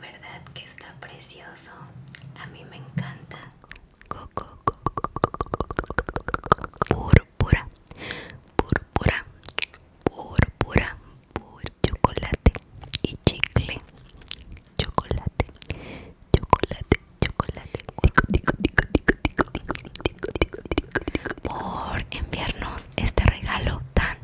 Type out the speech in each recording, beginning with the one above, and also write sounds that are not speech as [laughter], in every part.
¿Verdad que está precioso? A mí me encanta. púrpura, púrpura, púrpura, chocolate y chicle. Chocolate, chocolate, chocolate. Por enviarnos este regalo tan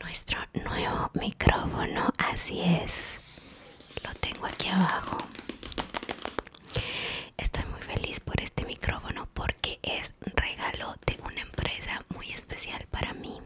nuestro nuevo micrófono así es lo tengo aquí abajo estoy muy feliz por este micrófono porque es regalo de una empresa muy especial para mí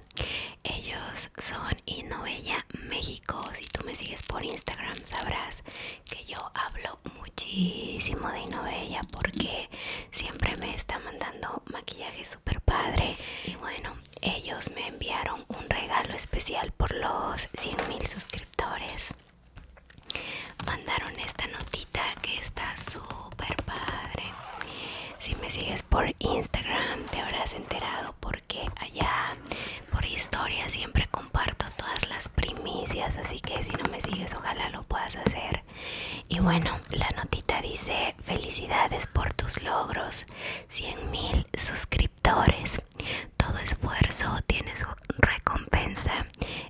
ellos son Inovella México si tú me sigues por Instagram sabrás que yo hablo muchísimo de Inovella porque siempre me está mandando maquillajes super padre y bueno ellos me enviaron un regalo especial por los 100 mil suscriptores mandaron esta notita que está super padre si me sigues por instagram te habrás enterado porque allá por historia siempre comparto todas las primicias así que si no me sigues ojalá lo puedas hacer y bueno la notita dice felicidades por tus logros 100.000 mil suscriptores. Todo esfuerzo tiene su recompensa.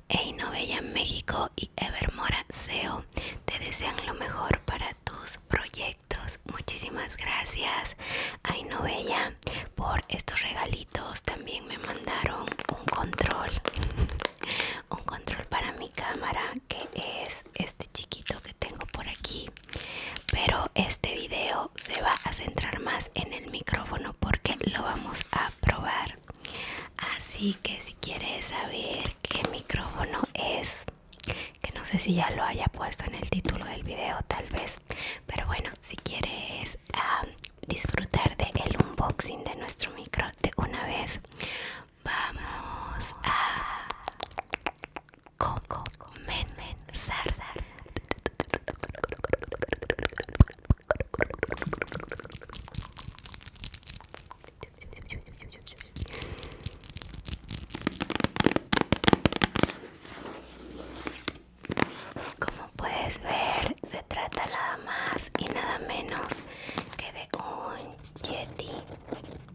Einovella México y Evermora SEO te desean lo mejor para tus proyectos. Muchísimas gracias a por estos regalitos. También me mandaron un control. [laughs] Un control para mi cámara que es este chiquito que tengo por aquí pero este video se va a centrar más en el micrófono porque lo vamos a probar así que si quieres saber qué micrófono es que no sé si ya lo haya puesto en el título del video tal vez pero bueno si quieres ah, disfrutar del unboxing de nuestro micro de una vez Vamos a comenzar. Como puedes ver, se trata nada más y nada menos que de un yeti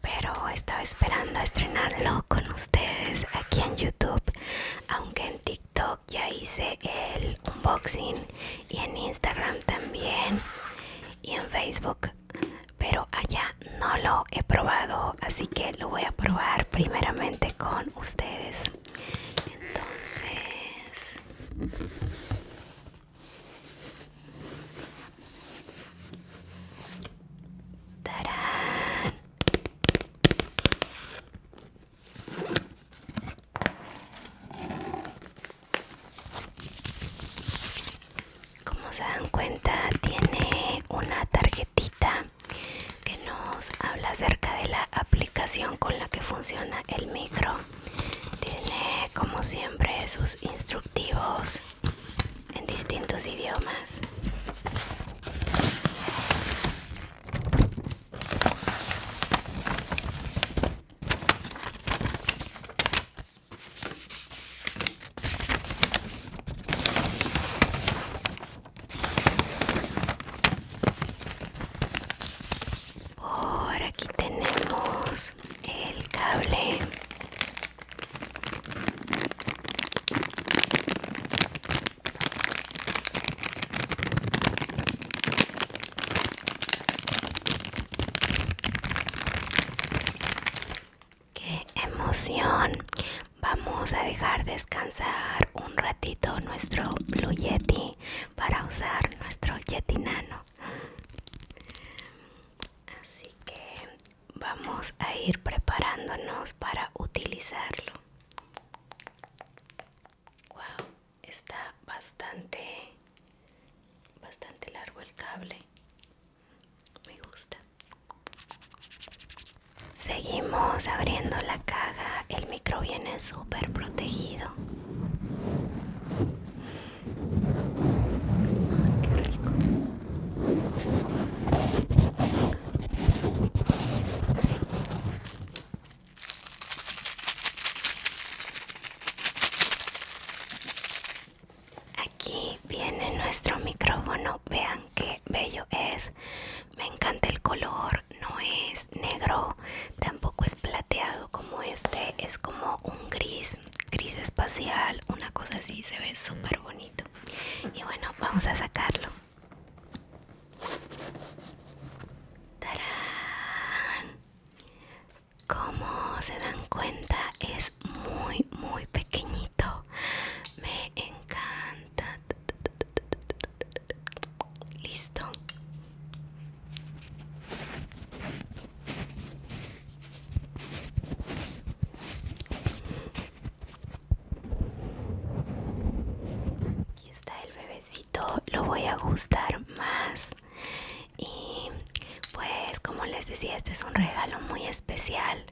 pero estaba esperando a estrenarlo con ustedes aquí en YouTube, aunque en TikTok ya hice el unboxing y en Instagram también y en Facebook, pero allá no lo he probado, así que lo voy a probar primeramente con ustedes. Entonces, ¡Tarán! Como se dan cuenta, tiene una tarjetita que nos habla acerca de la aplicación con la que funciona el micro. Tiene, como siempre, sus instructivos en distintos idiomas. Por aquí tenemos el cable ¡Qué emoción! Vamos a dejar descansar un ratito nuestro Blue Yeti para usar nuestro Yeti Nano. Así que vamos a ir preparándonos para utilizarlo. Wow, está bastante bastante largo el cable. Me gusta. Seguimos abriendo la caja. El micro viene súper protegido. Aquí viene nuestro micrófono, vean qué bello es. Me encanta el color, no es negro, tampoco es plateado como este es como un gris gris espacial una cosa así se ve súper bonito y bueno vamos a sacarlo como se dan cuenta es muy muy pequeñito me encanta listo Aquí está el bebecito, lo voy a gustar más. Y pues como les decía, este es un regalo muy especial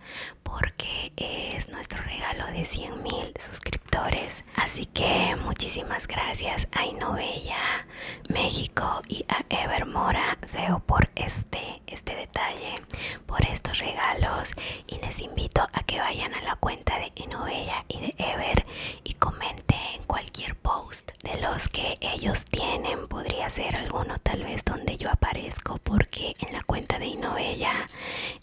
porque es nuestro regalo de 100.000 mil suscriptores. Así que muchísimas gracias, Ay Novella México y a Ever Mora Seo por este, este detalle, por estos regalos y les invito a que vayan a la cuenta de Inovella y de Ever y comenten cualquier post de los que ellos tienen. Podría ser alguno tal vez donde yo aparezco porque en la cuenta de Inovella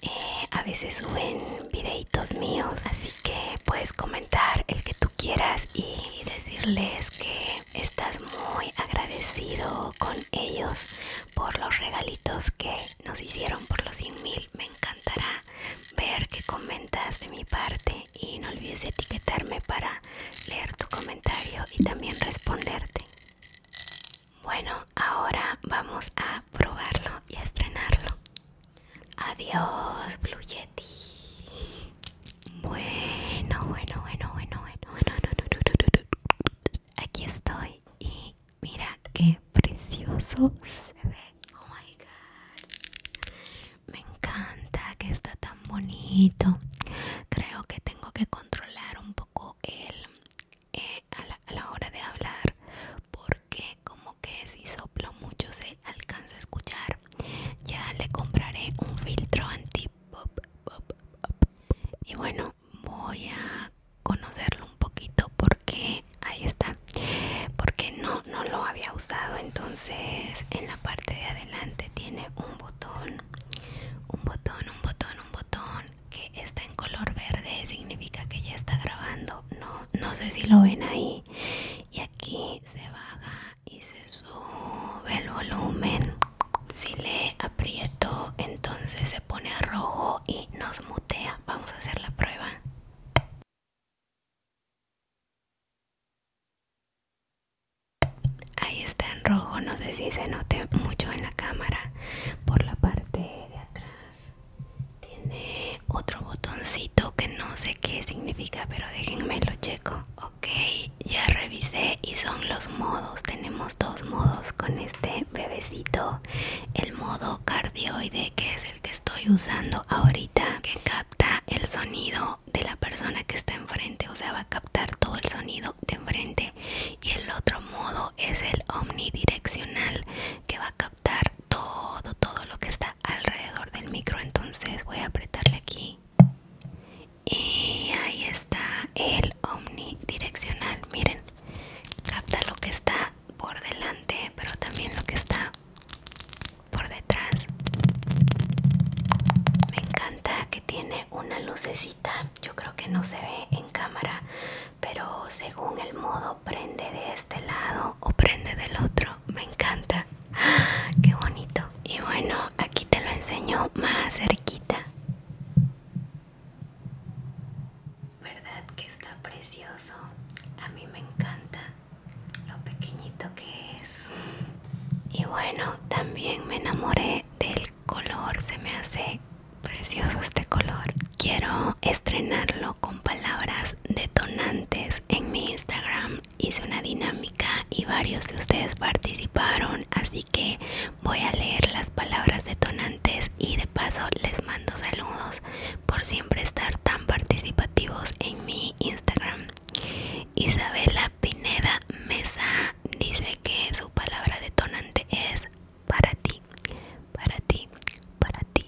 eh, a veces suben videitos míos, así que puedes comentar el que tú quieras y decirles que estás muy agradecido con ellos por los regalitos que nos hicieron por los 100 mil. Me encantará ver que comentas de mi parte y no olvides etiquetarme para leer tu comentario y también responderte. Bueno, ahora vamos a probarlo y a estrenarlo. Adiós, Blue Yeti. Bueno, bueno, bueno, bueno, bueno, bueno. Aquí estoy y mira qué precioso se ve. Oh my god. Me encanta que está tan bonito. Creo que tengo que controlar un poco él eh, a, la, a la hora de hablar porque como que si soplo mucho se alcanza a escuchar ya le compraré un filtro anti pop, Y bueno, voy a conocerlo un poquito porque ahí está. Porque no no lo había usado, entonces en la parte de adelante tiene un botón. Un botón, un botón, un botón que está en color verde, significa que ya está grabando. No no sé si lo ven ahí. Y aquí se va a y se sube el volumen. Si le aprieto, entonces se pone rojo y nos mutea. Vamos a hacer la prueba. Ahí está en rojo, no sé si se note mucho en la cámara. Por la parte de atrás tiene otro botoncito que no se qué significa, pero déjenme lo checo. Ok, ya revisé y son los modos. Tenemos dos modos con este bebecito. El modo cardioide, que es el que estoy usando ahorita, que capta el sonido de la persona que está enfrente, o sea, va a captar todo el sonido de enfrente. Y el otro modo es el omnidireccional, que va a captar todo todo lo que está alrededor del micro entonces voy a apretarle aquí y ahí está el omnidireccional miren capta lo que está por delante pero también lo que está por detrás me encanta que tiene una lucecita yo creo que no se ve en cámara pero según el modo prende de este lado o prende del otro me encanta [gasps] qué bonito y bueno aquí te lo enseño más cerquita verdad que está precioso a mí me encanta lo pequeñito que es y bueno también me enamoré del color se me hace precioso este color quiero estrenarlo con palabras detonantes en mi instagram hice una dinámica y varios de ustedes participaron, así que voy a leer las palabras detonantes y de paso les mando saludos por siempre estar tan participativos en mi Instagram. Isabela Pineda Mesa dice que su palabra detonante es para ti, para ti, para ti,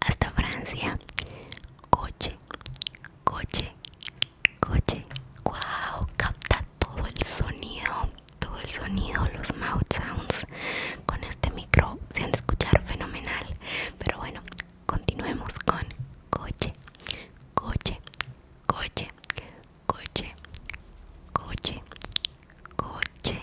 hasta Francia. Coche, coche, coche. Wow, capta todo el sonido, todo el sonido, los mouth sounds. Con este micro se han de escuchar fenomenal. Pero bueno, continuemos con coche, coche, coche, coche, coche, coche,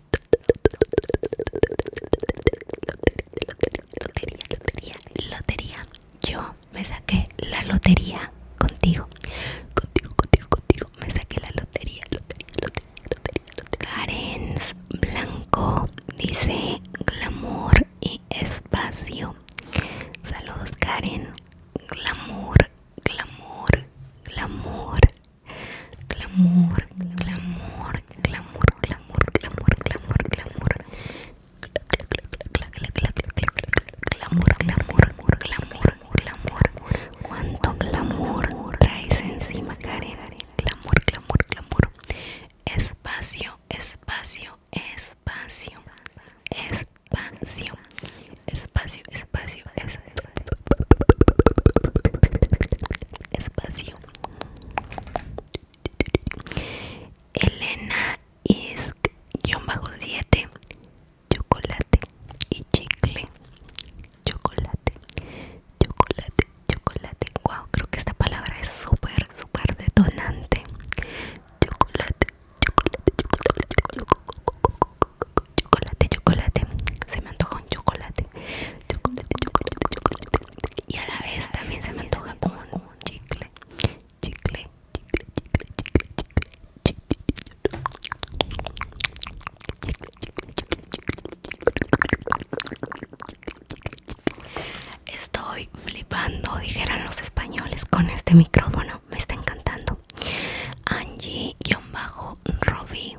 Lotería, lotería, lotería. Yo me saqué la lotería contigo. Contigo, contigo, contigo. Me saqué la lotería. Lotería, lotería, lotería. lotería. Karen Blanco dice glamour y espacio. Saludos Karen. Glamour, glamour, glamour, Clamor, clamor, clamor, clamor, clamor, clamor, clamor. Clamor, clamor, clamor, clamor. Cuánto clamor traes encima, Karen. Clamor, clamor, clamor. Espacio, espacio, espacio, espacio espacio, espacio, espacio, espacio. Elena bajo siete Chocolate y chicle Chocolate Chocolate Chocolate Wow, creo que esta palabra es súper, súper detonante Chocolate Chocolate Chocolate chocolate, chocolate. Se me antoja un chocolate. Chocolate, chocolate, chocolate. Y a la vez también se me antoja un chicle. Chicle, chicle, chicle, chicle, chicle. Estoy flipando, dijeran los españoles, con este micrófono. Me está encantando. Angie-Robbie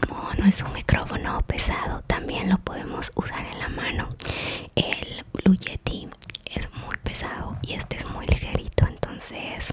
como no es un micrófono pesado también lo podemos usar en la mano el blue yeti es muy pesado y este es muy ligerito entonces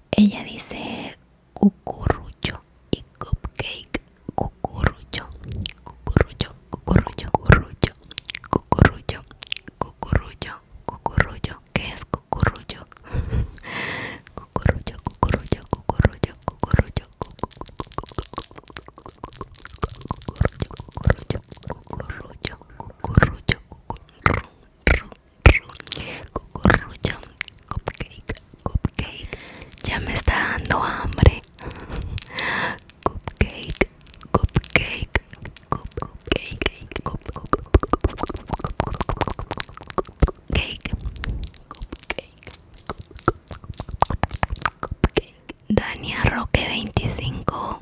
Ella dice cucurrucho y cupcake. Cucurrucho, cucurrucho, cucurrucho, cucurrucho, cucurrucho, cucurrucho, cucurrucho. ¿Qué es cucurrucho? cucurrucho, cucurrucho, cucurrucho, cucurrucho, cucurrucho, cucurrucho, cucurrucho, cucurrucho, cucurrucho, Cucurrucho Cupcake Cupcake Ya me está dando hambre Cupcake Cupcake Cupcake Cupcake Cupcake Cupcake Dania Roque 25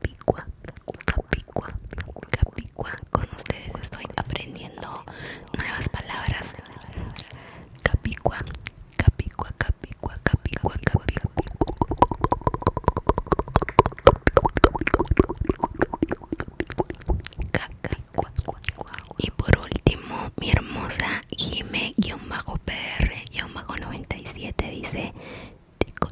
capicua, capicua, capicua. Con ustedes estoy aprendiendo nuevas palabras. Capicua, capicua, capicua, capicua, capicua. Y por último, mi hermosa Jime-PR-97 dice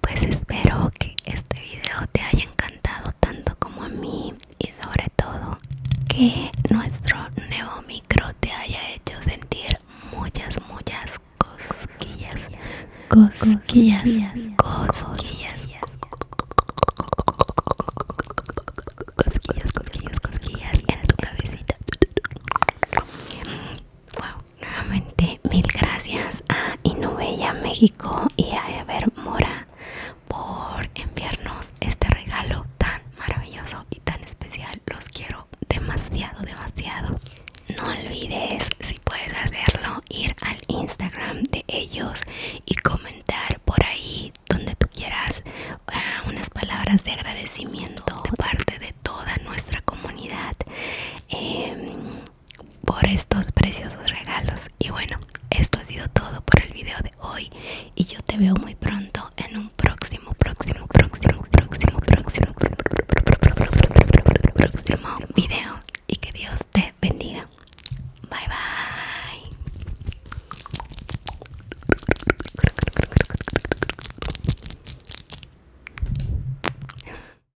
Pues espero que este video te haya encantado tanto como a mí y sobre todo que nuestro nuevo micro te haya hecho sentir muchas, muchas cosquillas, cosquillas, cosquillas, cosquillas, cosquillas, cosquillas, en tu cabecita. Nuevamente, mil gracias a Inubella México y a Ever Mora por enviarnos este regalo tan maravilloso y tan especial. Los quiero demasiado, demasiado. No olvides, si puedes hacerlo, ir al Instagram de ellos y comentar por ahí donde tú quieras ah, unas palabras de agradecimiento de parte de toda nuestra comunidad. Em, por estos preciosos regalos y bueno esto ha sido todo por el video de hoy y yo te veo muy pronto en un próximo próximo próximo próximo próximo próximo video y que Dios te bendiga bye bye